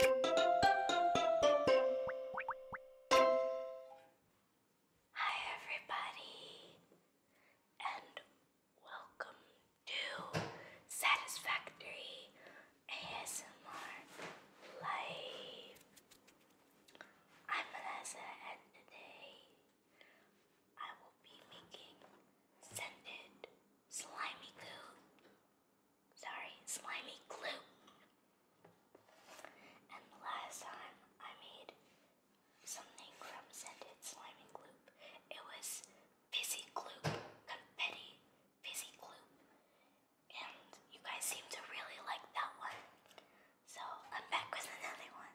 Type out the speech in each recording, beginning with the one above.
Hi, everybody, and welcome to Satisfactory ASMR Live. I'm Vanessa, and today I will be making scented slimy goo sorry, slimy glue. And last time I made something from scented slimy glue. It was fizzy glue, confetti fizzy glue. And you guys seem to really like that one. So I'm back with another one.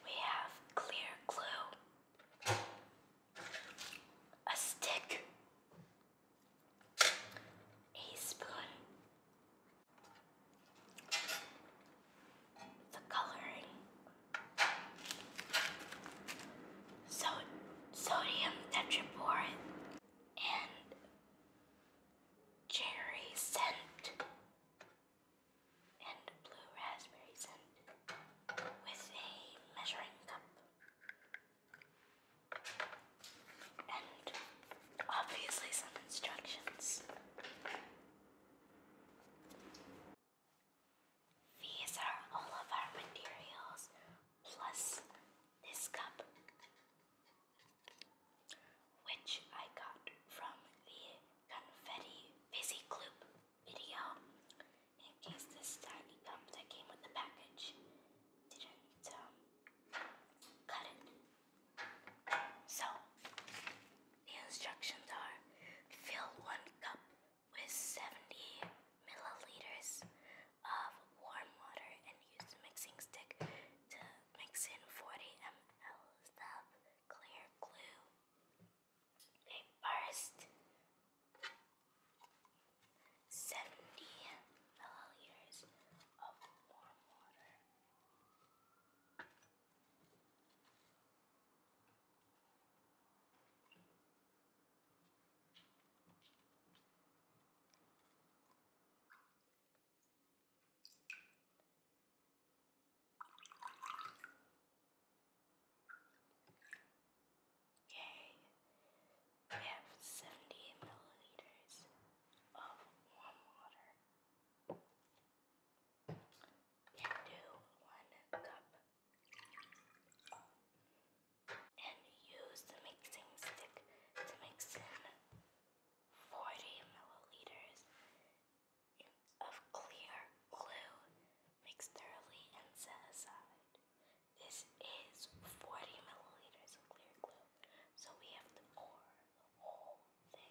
We have clear glue, a stick, a spoon, the coloring. So sodium tetraborate and cherry scent and blue raspberry scent with a measuring cup and Obviously, some instructions. These are all of our materials, plus this cup, which I got from the confetti fizzy gloop video. In case this tiny cup that came with the package didn't um, cut it. So, the instructions are fill one cup with 70 milliliters of warm water and use the mixing stick to mix in 40 ml of clear glue. Okay, first, 70 milliliters of warm water. Okay, we have 70 milliliters of warm water do one cup and use the mixing stick to mix in 40 milliliters of clear glue mixed thoroughly and set aside. This is 40 milliliters of clear glue, so we have to pour the whole thing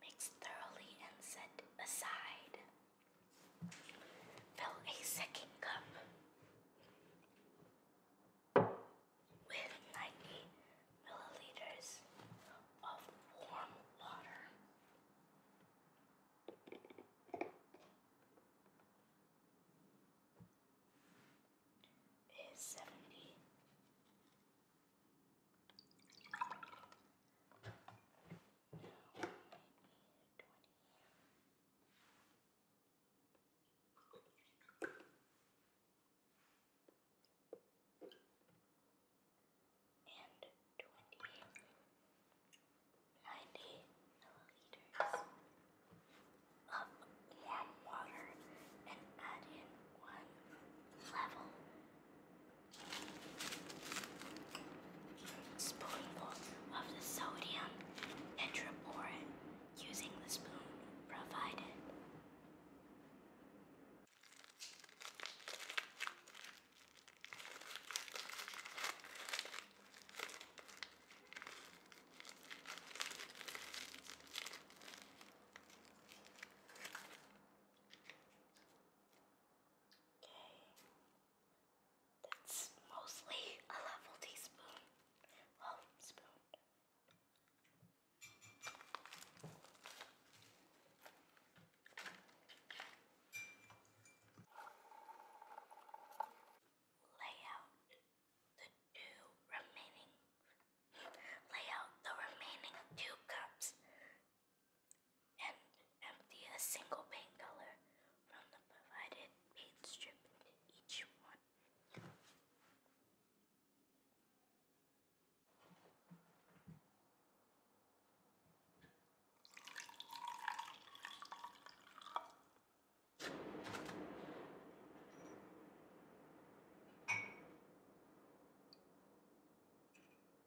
Mix thoroughly and set aside. Fill a second cup with 90 milliliters of warm water. Is 70 and 20 milliliters of warm water and add in one level spoonful of the sodium and tetraborin using the spoon provided. Okay. That's mostly a level teaspoon. Well, spoon. Lay out the two remaining. Lay out the remaining two cups and empty a single paint color from the provided paint strip into each one.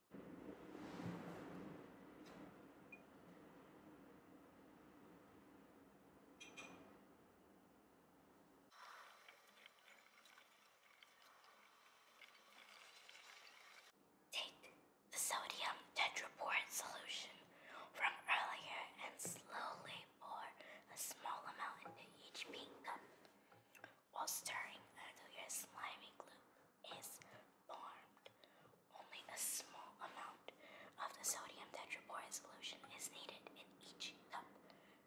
Take the sodium tetraborate solution from earlier and slowly pour a small amount into each pink cup while stirring until your slimy glue is formed. Only a small amount of the sodium tetraboric solution is needed in each cup,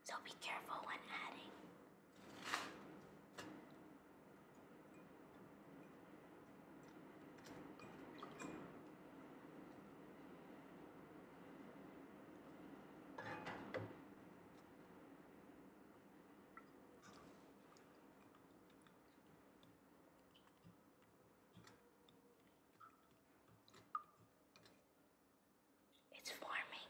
so be careful when adding. It's forming.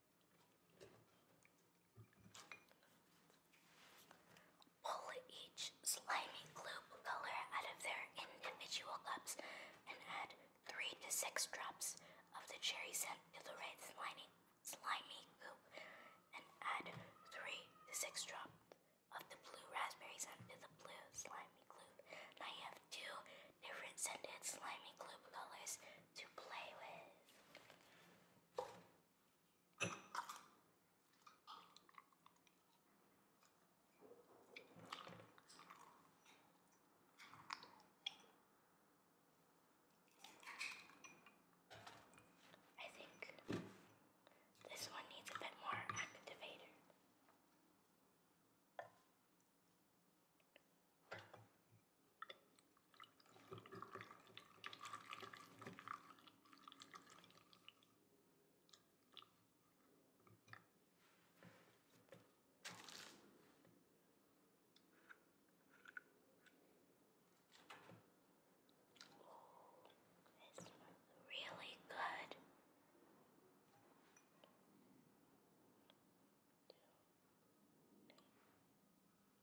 Pull each slimy glue color out of their individual cups and add 3 to 6 drops of the cherry scent to the red slimy, slimy glue, and add 3 to 6 drops of the blue raspberry scent to the blue slimy glue. Now you have two different scented slimy glue colors to play with. I think this one needs a bit more activator. This smells really good.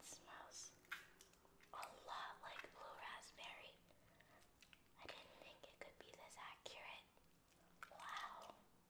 It smells a lot like blue raspberry. I didn't think it could be this accurate. Wow.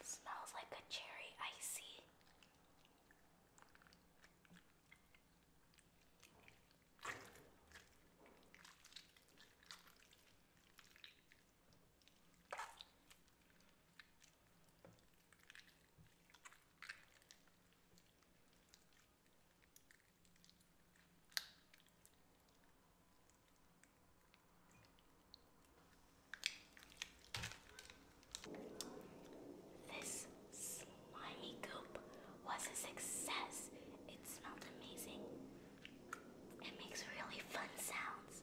It smells like a cherry icy. This slimy goop was a success. It smelled amazing. It makes really fun sounds.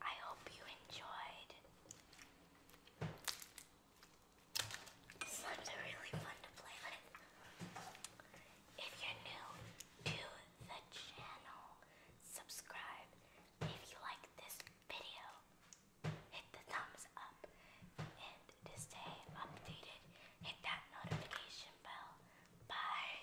I hope you enjoyed. Slimes are really fun to play with. If you're new to the channel, subscribe. If you like this video, hit the thumbs up. And to stay updated, hit that notification bell. Bye.